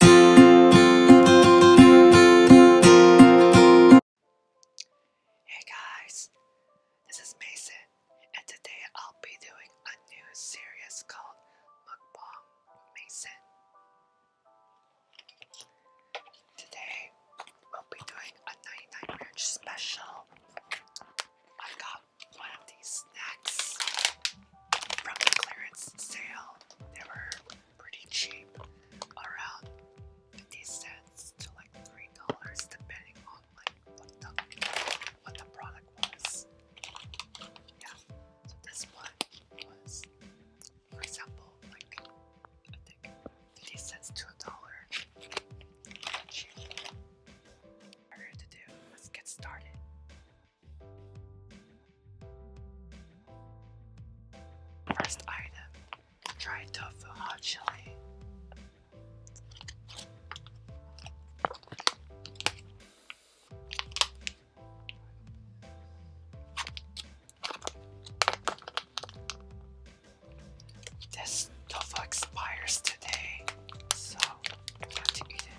Hey guys, this is Mason, and today I'll be doing a new series called Mukbang Mason. Today we'll be doing a 99 Ranch special. I got one of these snacks from the clearance sale. They were pretty cheap, around 50 cents to like $3 depending on like what the, what the product was. Yeah, so this one was, for example, like I think 50 cents to a dollar. Cheap. All you let's get started. First item, dry tofu hot chili. This tofu expires today, so I have to eat it.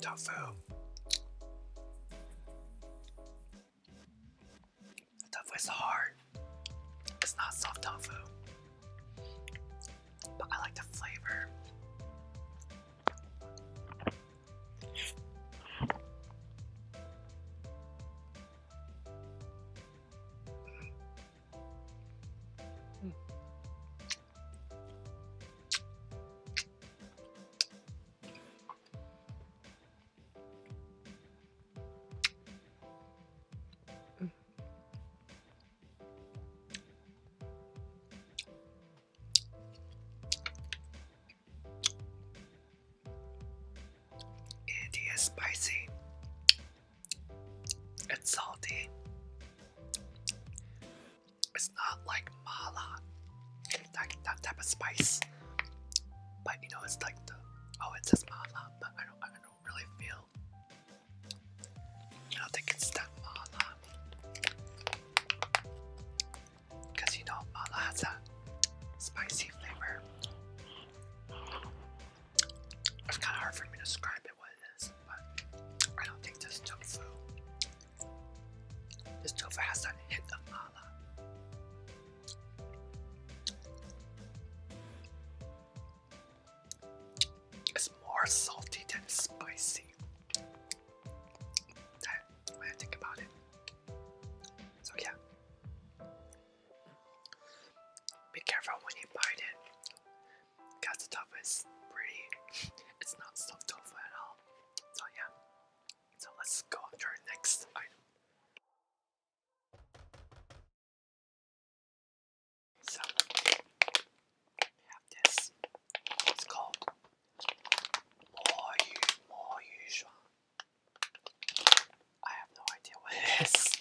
The tofu tofu is hard. It's not soft tofu. But I like the flavor. It is spicy. It's salty. It's not like mala, that, that type of spice. But you know, it's like the oh, it's says mala, but I don't I don't really feel. I think it's that mala. Because you know, mala has a spicy flavor. It's kind of hard for me to describe it what it is, but I don't think it's tofu. This tofu has that hit of mala. It's more salty than spicy. That when I think about it. So yeah. Be careful when you bite it. Cause the tofu is pretty it's not soft tofu at all. So yeah. So let's go to our next item. So we have this. It's called More You More Usual. I have no idea what it is.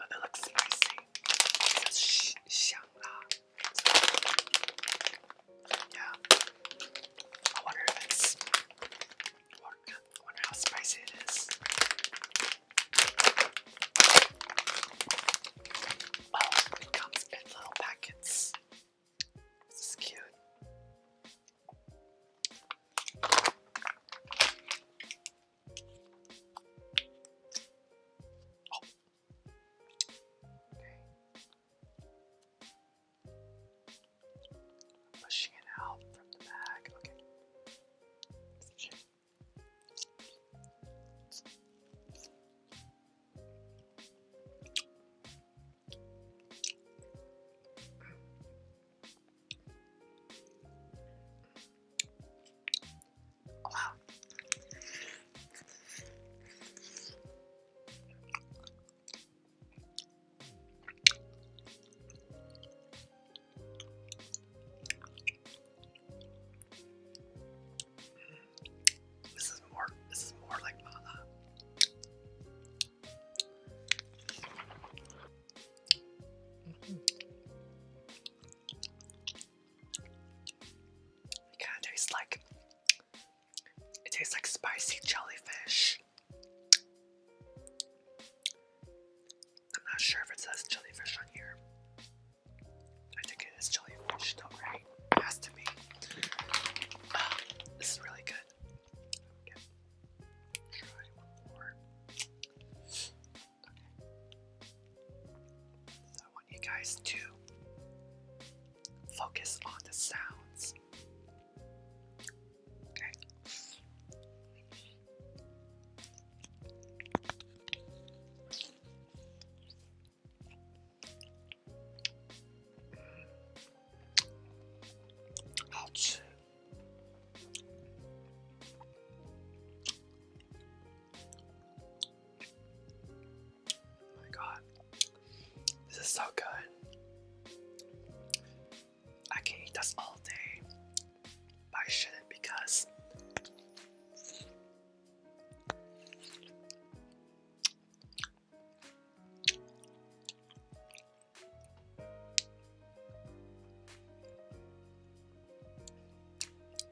and it looks spicy. It says Xiang Yeah. I wonder if it's Look, wonder how spicy it is. Oh, it comes in little packets. This is cute. Oh. Pushing it out from the back. Okay. Wow. This is more this is more like mala. Mm -hmm. It like it tastes like spicy jellyfish. I'm not sure if it says jellyfish on here. I think it is jellyfish Still right? It has to be. Ah, this is really good. So I want you guys to focus on the sounds 好吃。Oh my god, this is so good. I can eat this all day, but I shouldn't because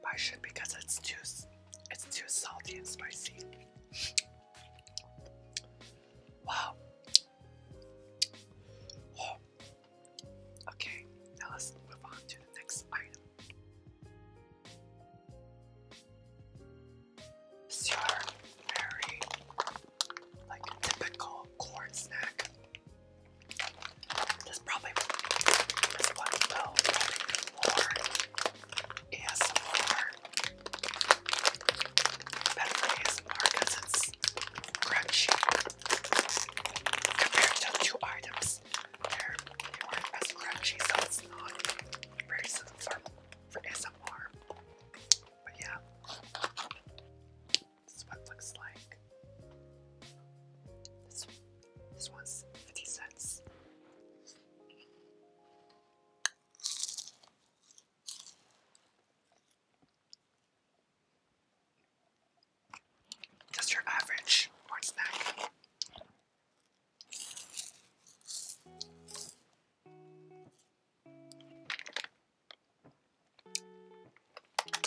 I should because it's too it's too salty and spicy. Wow, Oh. Okay, now let's move on to the next item. These are very like typical corn snack. This probably will be more ASMR better than ASMR because crunchy compared the two items. They're, they are they crunchy, so it's not very suitable for ASMR. But yeah, this is what it looks like. this one's 50 cents. Just your average corn snack.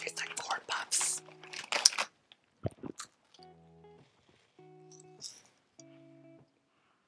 It's like corn puffs.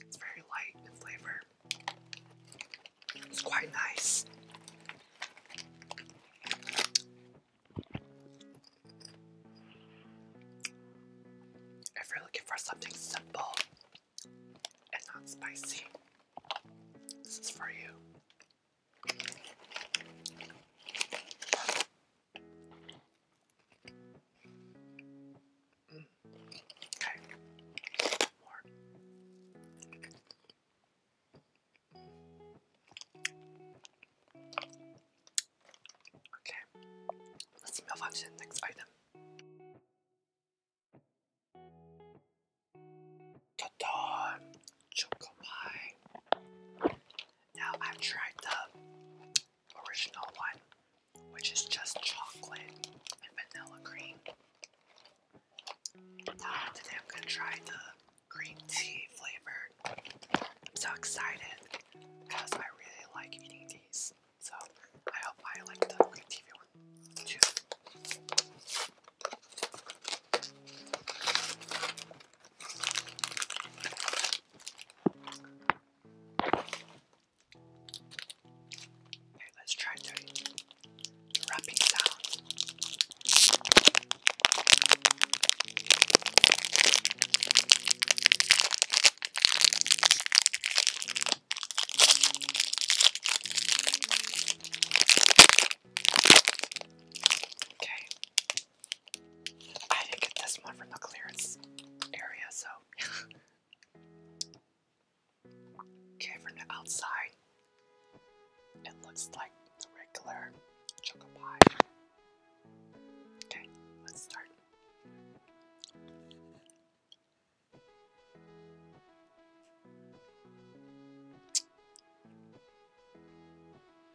It's very light in flavor. It's quite nice. If you're looking for something simple and not spicy, this is for you. Okay. More. Okay. Let's move on to the next item. Ta-da! Now I've tried the original one, which is just chocolate and vanilla cream. Now I'm gonna try the green tea flavored. I'm so excited because I really like eating these. So I hope I like the green tea one too. Okay, let's try the wrapping sound. Okay, I didn't get this one from the clearance area, so. okay, from the outside, it looks like the regular choco pie. Okay, let's start.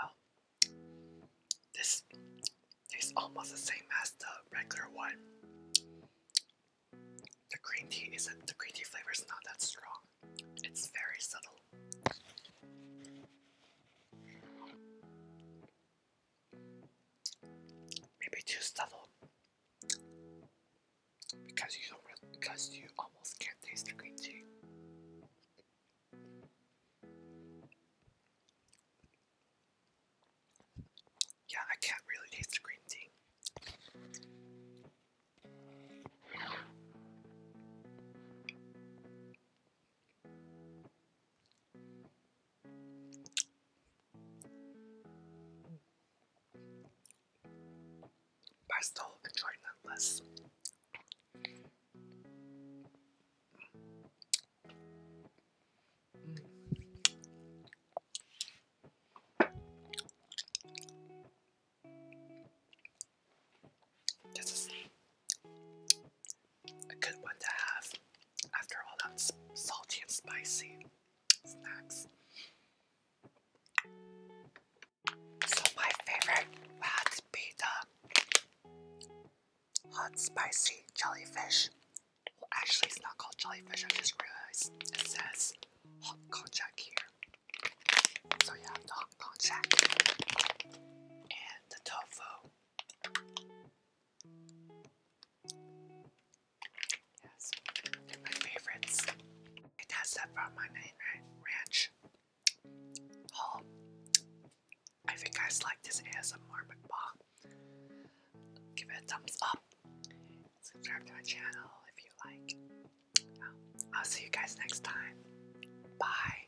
Oh, this tastes almost the same as the regular one. The green tea isn't the green tea flavor is not that strong. It's very subtle. Maybe too subtle because you don't because you almost can't taste the green tea. Yeah, I can't really taste the green tea. But I still enjoy nonetheless. Mm. This is a good one to have after all that salty and spicy snacks. So my favorite would be the hot spicy jellyfish. Well, actually, it's not called jellyfish. I just realized it says hot Kong Jack here. So yeah, the Hong Kong and the tofu. Yes, they're my favorites. It has that Farmana Ranch haul. I think you guys like this ASMR mukbang. Give it a thumbs up. Subscribe to my channel if you like. I'll see you guys next time. Bye.